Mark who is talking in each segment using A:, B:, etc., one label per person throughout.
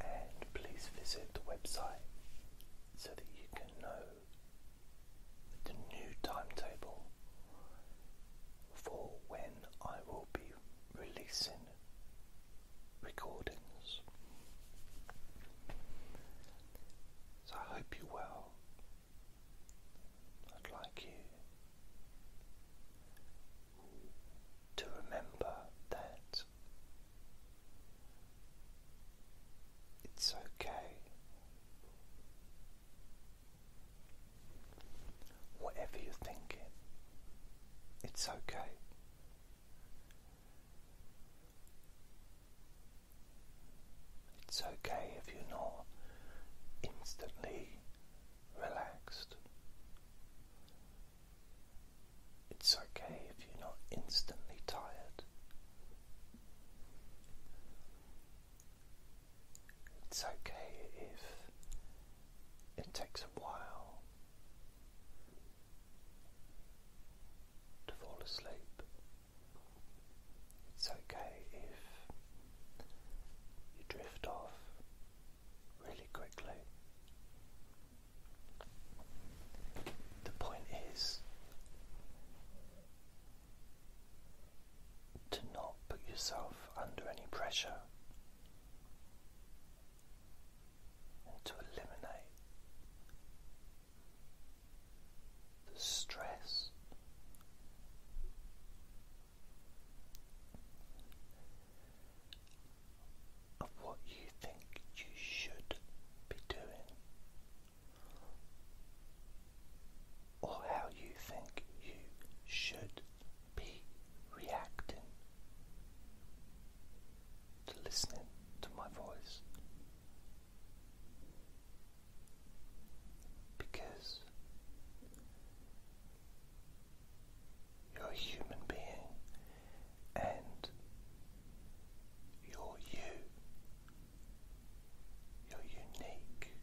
A: and please visit the website so that you can know the new timetable for when I will be releasing recordings. So I hope you're well. I'd like you to remember that it's okay. Whatever you're thinking, it's okay. It's okay if you're not instantly relaxed. It's okay if you're not instantly tired. It's okay if it takes a while to fall asleep. It's okay if you drift off really quickly. The point is to not put yourself under any pressure and to eliminate the stress of what you think you should be doing, or how you think you should be reacting to listening to my voice. Because you're a human being and you're you. You're unique.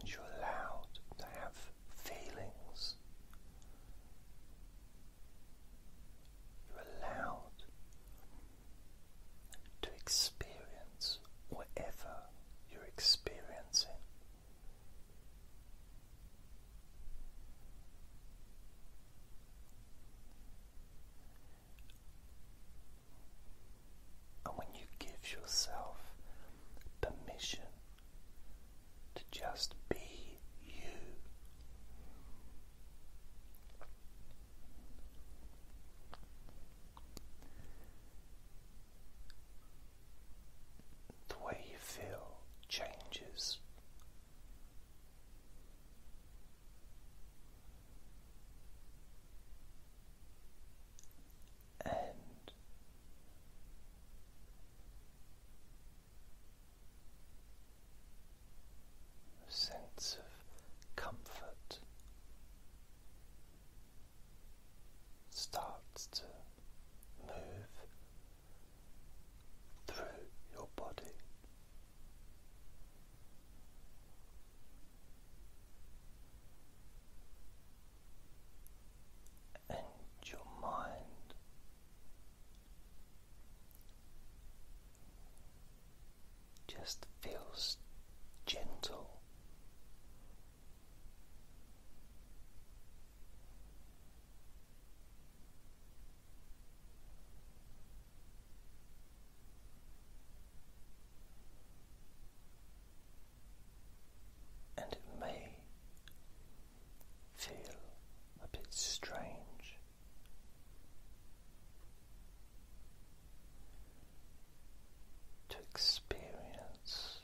A: And you're allowed to have feelings. You're allowed to experience whatever you're experiencing. And when you give yourself permission to just be you, the way you feel changes. And sense of comfort starts to move through your body. And your mind just feels gentle. And it may feel a bit strange to experience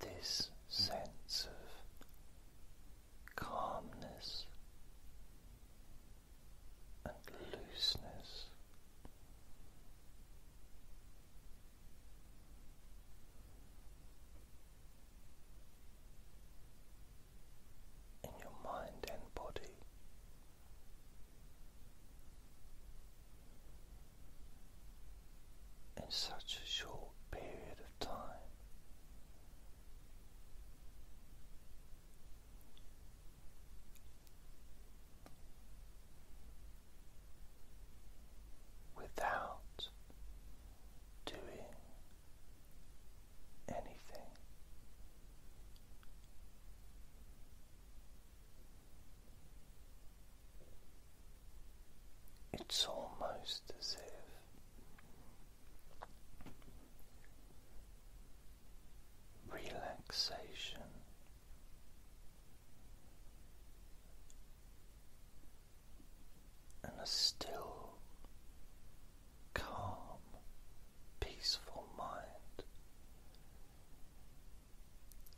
A: this sense of calmness and looseness in your mind and body. In such a short period of time, without doing anything. It's almost as if relaxation and a still calm, peaceful mind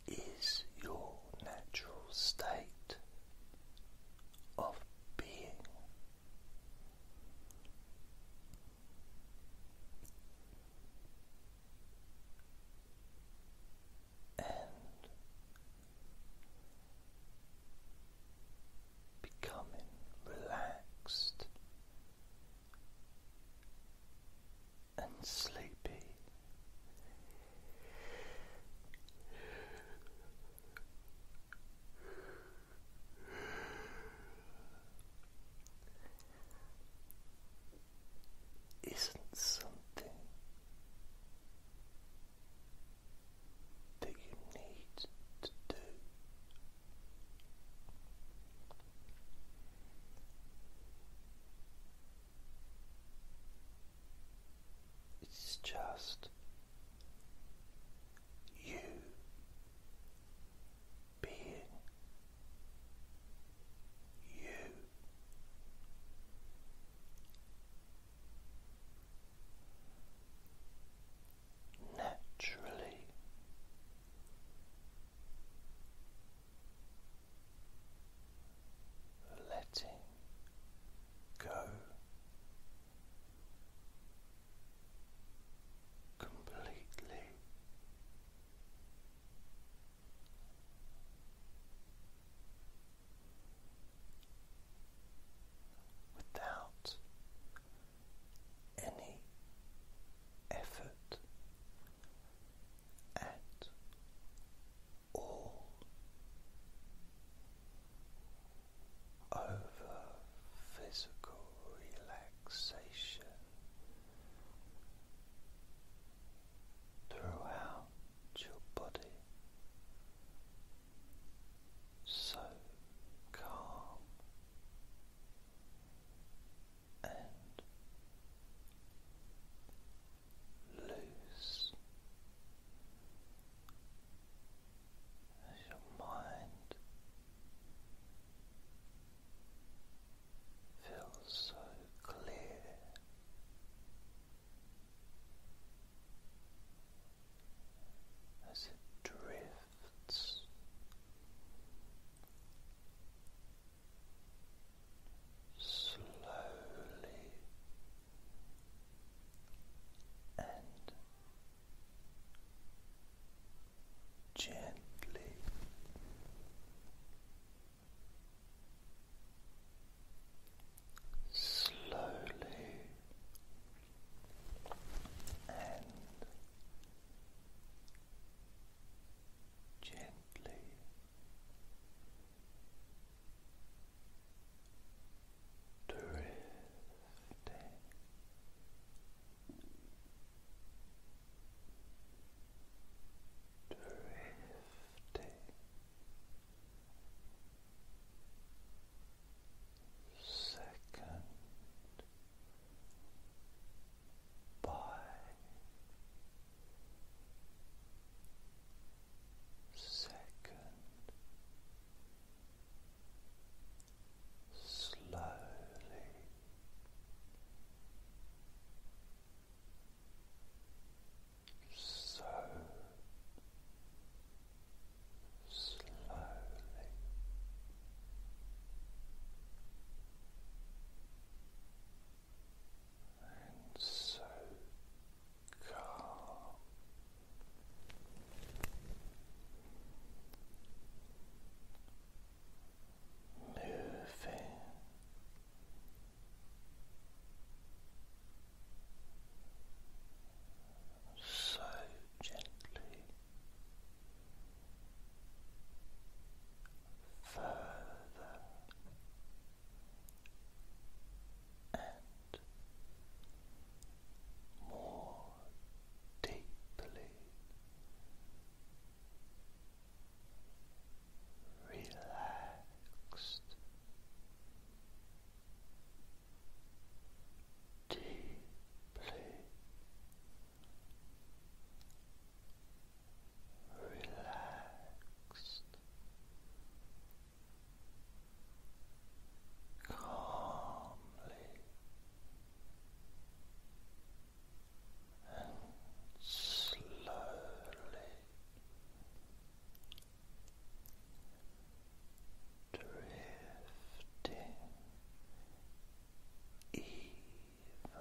A: is your natural state of being. And becoming relaxed and sleepy. Isn't something that you need to do. It's just you being you naturally. Letting go completely without any effort at all over physical relaxation throughout your body so calm and loose as your mind feels so clear as it drifts slowly and Gently slowly and gently. Drifting drifting second by second slowly so slowly. And so calm, moving so gently further and more deeply relaxed deeply relaxed, calmly and slowly drifting even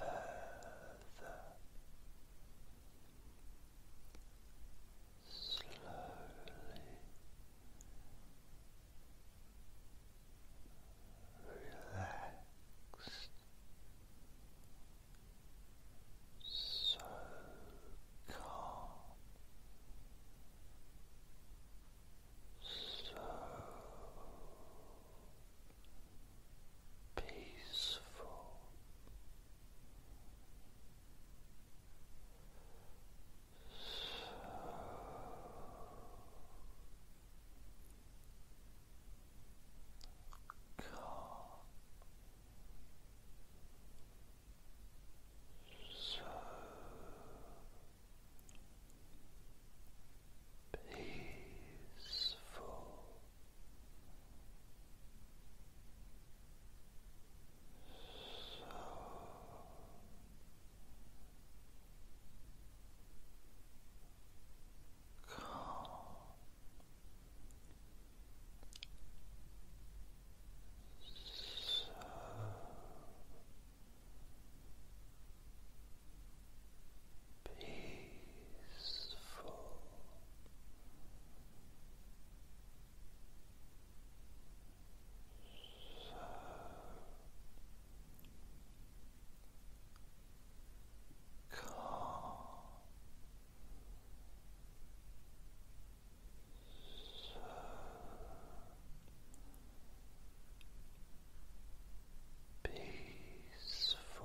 A: further slowly relaxed so calm, so peaceful, so calm, so peaceful, so calm, so peaceful. So calm, so peaceful. So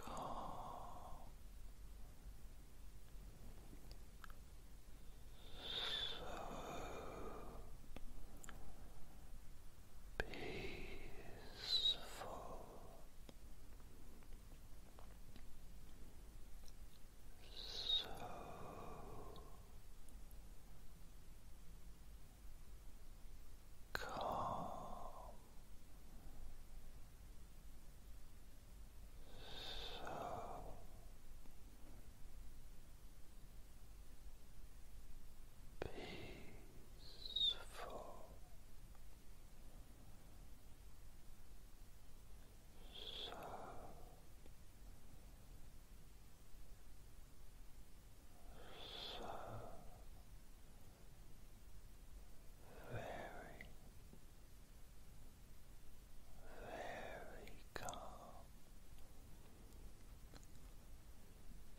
A: calm, so peaceful, so calm. So peaceful, so so very, very calm,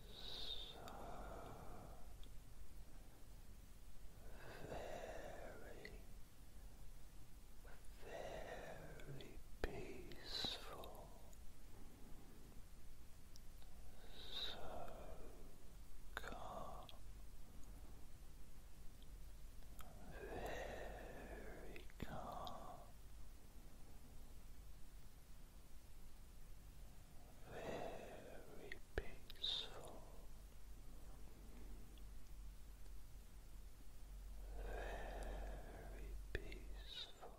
A: so very, very peaceful. So calm, very calm, very peaceful, very peaceful.